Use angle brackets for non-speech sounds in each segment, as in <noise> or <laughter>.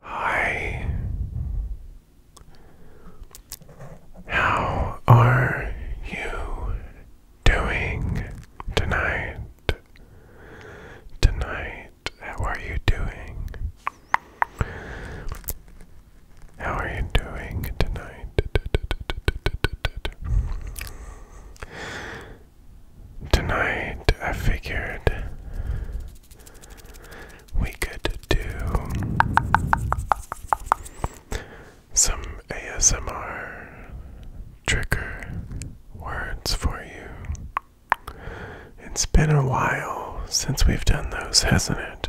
Hi. How are you doing tonight? Tonight, how are you doing? How are you doing tonight? Tonight, I figured we could do some ASMR trigger words for you. It's been a while since we've done those, hasn't it?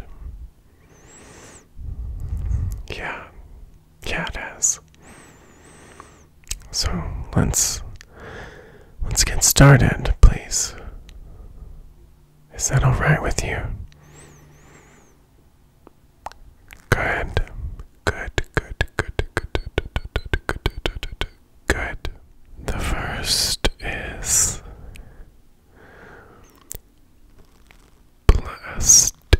Yeah, yeah, it has. So let's Let's get started, please. Is that alright with you? Good. Good, good, good, good, good, good, good. The first is plastic,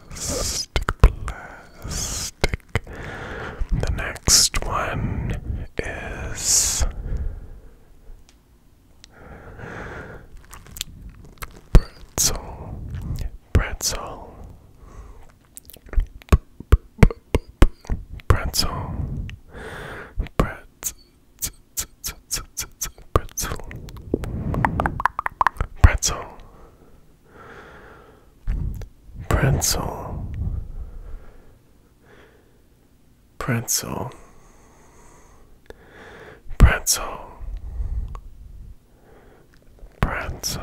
plastic, plastic. The next one is pretzel, pretzel, pretzel, pretzel. Pretzel, pretzel, pretzel, pretzel, pretzel, pretzel.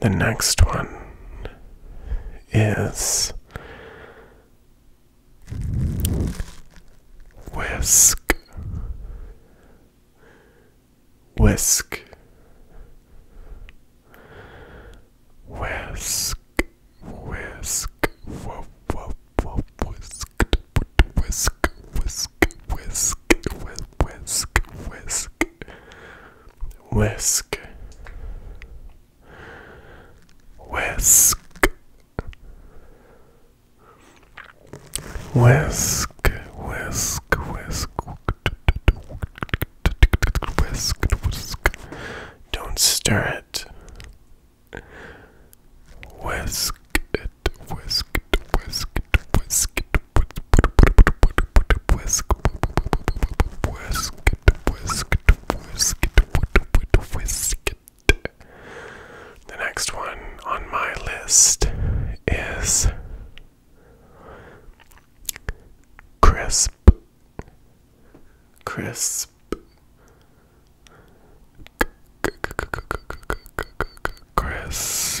The next one is whisk, whisk, whisk, whisk, whoop, whoop, whoop, whisk, whisk, whisk, whisk, whisk, whisk, whisk, whisk, whisk, whisk, whisk, whisk, whisk, whisk. Don't stir it. Whisk it, whisk it, whisk it, whisk it, whisk it, whisk it, whisk, whisk, whisk, whisk, whisk. The next one on my list is crisp, crisp, crisp,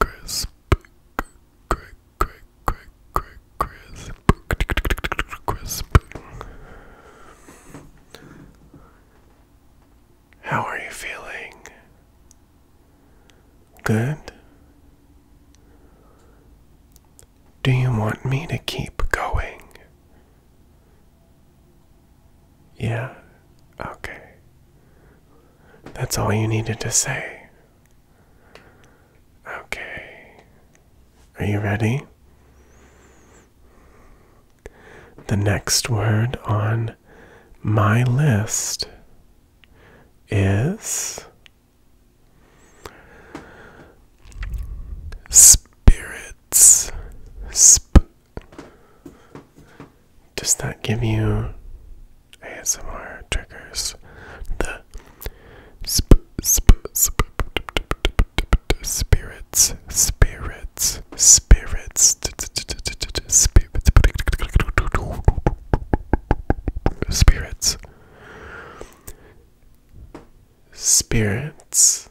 crisp, crisp, crisp, crisp. How are you feeling? Good? Do you want me to keep going? Yeah? Okay. That's all you needed to say. Okay. Are you ready? The next word on my list is spirits. Does that give you ASMR triggers? The sp sp spirits, spirits, spirits, spirits, spirits, spirits,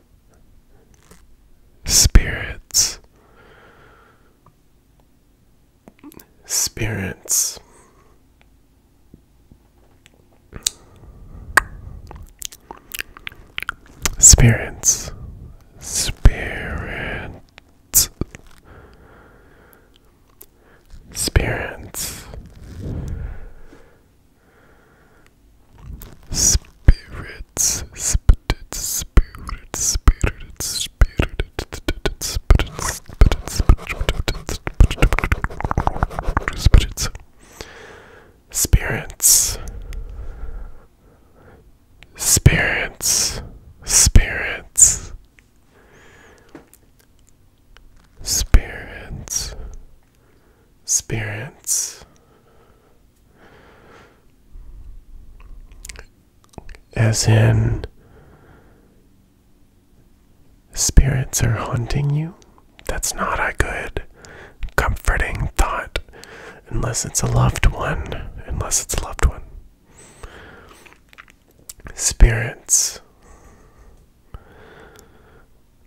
Spirits. Spirits. Spirits. Spirits. Spirits. Spirits, spirits, spirits, spirits, spirits, spirits, spirits, spirits, spirits, spirits. Spirits, spirits, as in, spirits are haunting you? That's not a good, comforting thought, unless it's a loved one. Unless it's a loved one. Spirits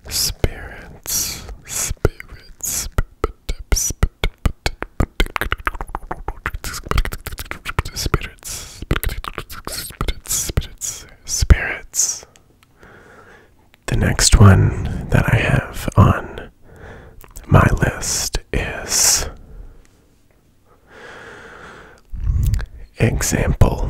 Spirits, spirits, spirits, spirits, spirits. spirits. The next one that I have on my list is example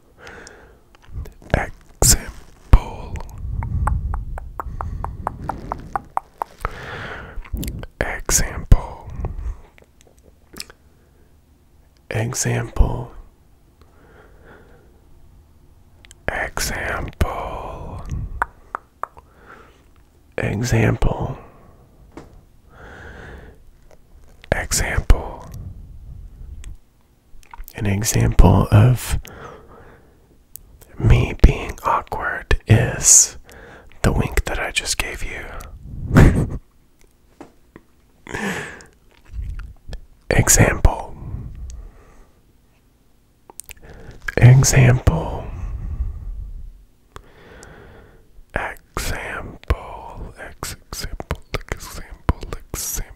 Example. Example. Example. Example. Example. Example. An example of me being awkward is the wink that I just gave you. <laughs> Example. Example. Example. Ex example. Example. Example.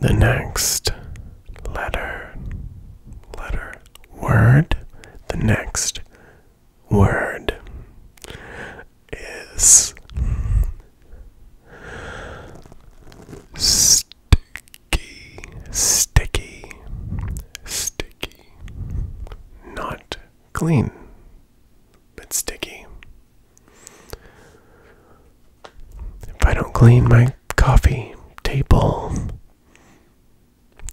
The next letter, letter, word, the next word is sticky, sticky, sticky, not clean, but sticky. If I don't clean my coffee table,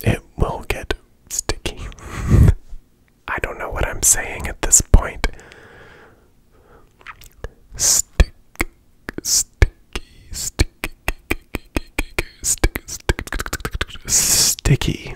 it will get sticky. I don't know what I'm saying at this point. Stick, sticky, sticky, sticky, sticky, sticky, sticky.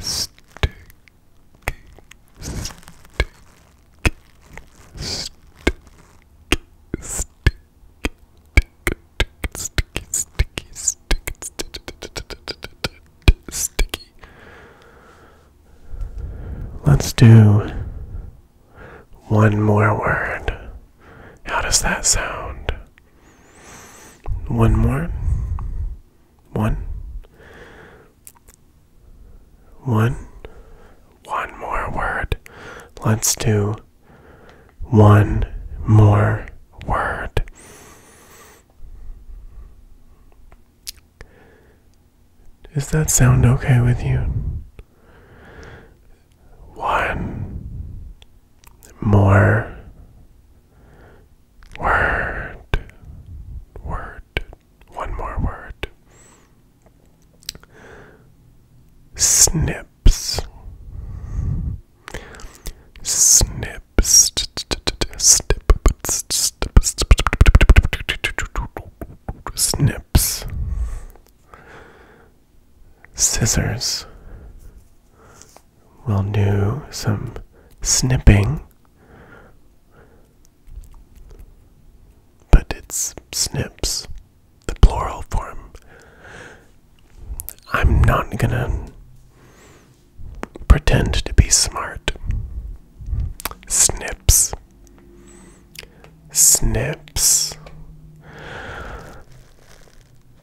Sticky, sticky, sticky, sticky, sticky, sticky, sticky, sticky. Let's do one more word. How does that sound? One more. one, one, one more word. Let's do one more word. Does that sound okay with you? One more Word. Word. One more word. Snips. Snips. Snips. Scissors. We'll do some snipping. But it's snips, the plural form. I'm not gonna pretend to be smart. Snips. Snips.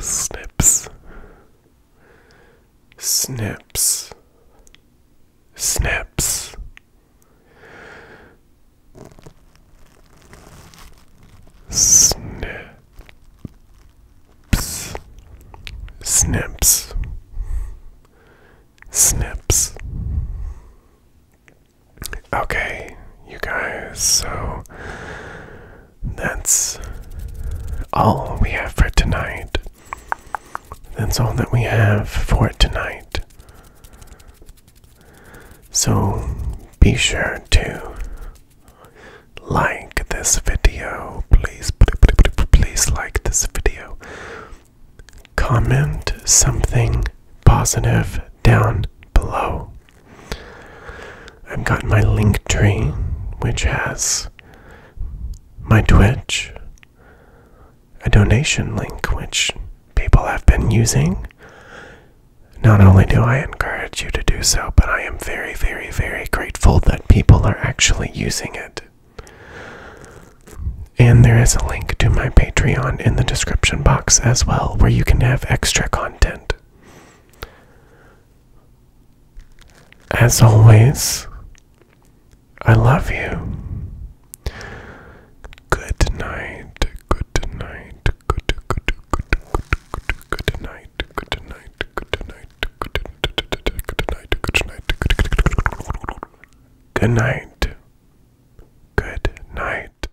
Snips. Snips. Snips. Snips. Snips. Snips. Okay, you guys, so that's all we have for tonight. That's all that we have for tonight. So be sure to like this video. Please, please like this video. Comment something positive down below. I've got my link tree, which has my Twitch, a donation link, which people have been using. Not only do I encourage you to do so, but I am very, very, very grateful that people are actually using it. And there is a link to my Patreon in the description box as well, where you can have extra content. As always, I love you. Good night, good night, good, good, good, good, good night, good night, good night, good night, good night, good night, good night, good night.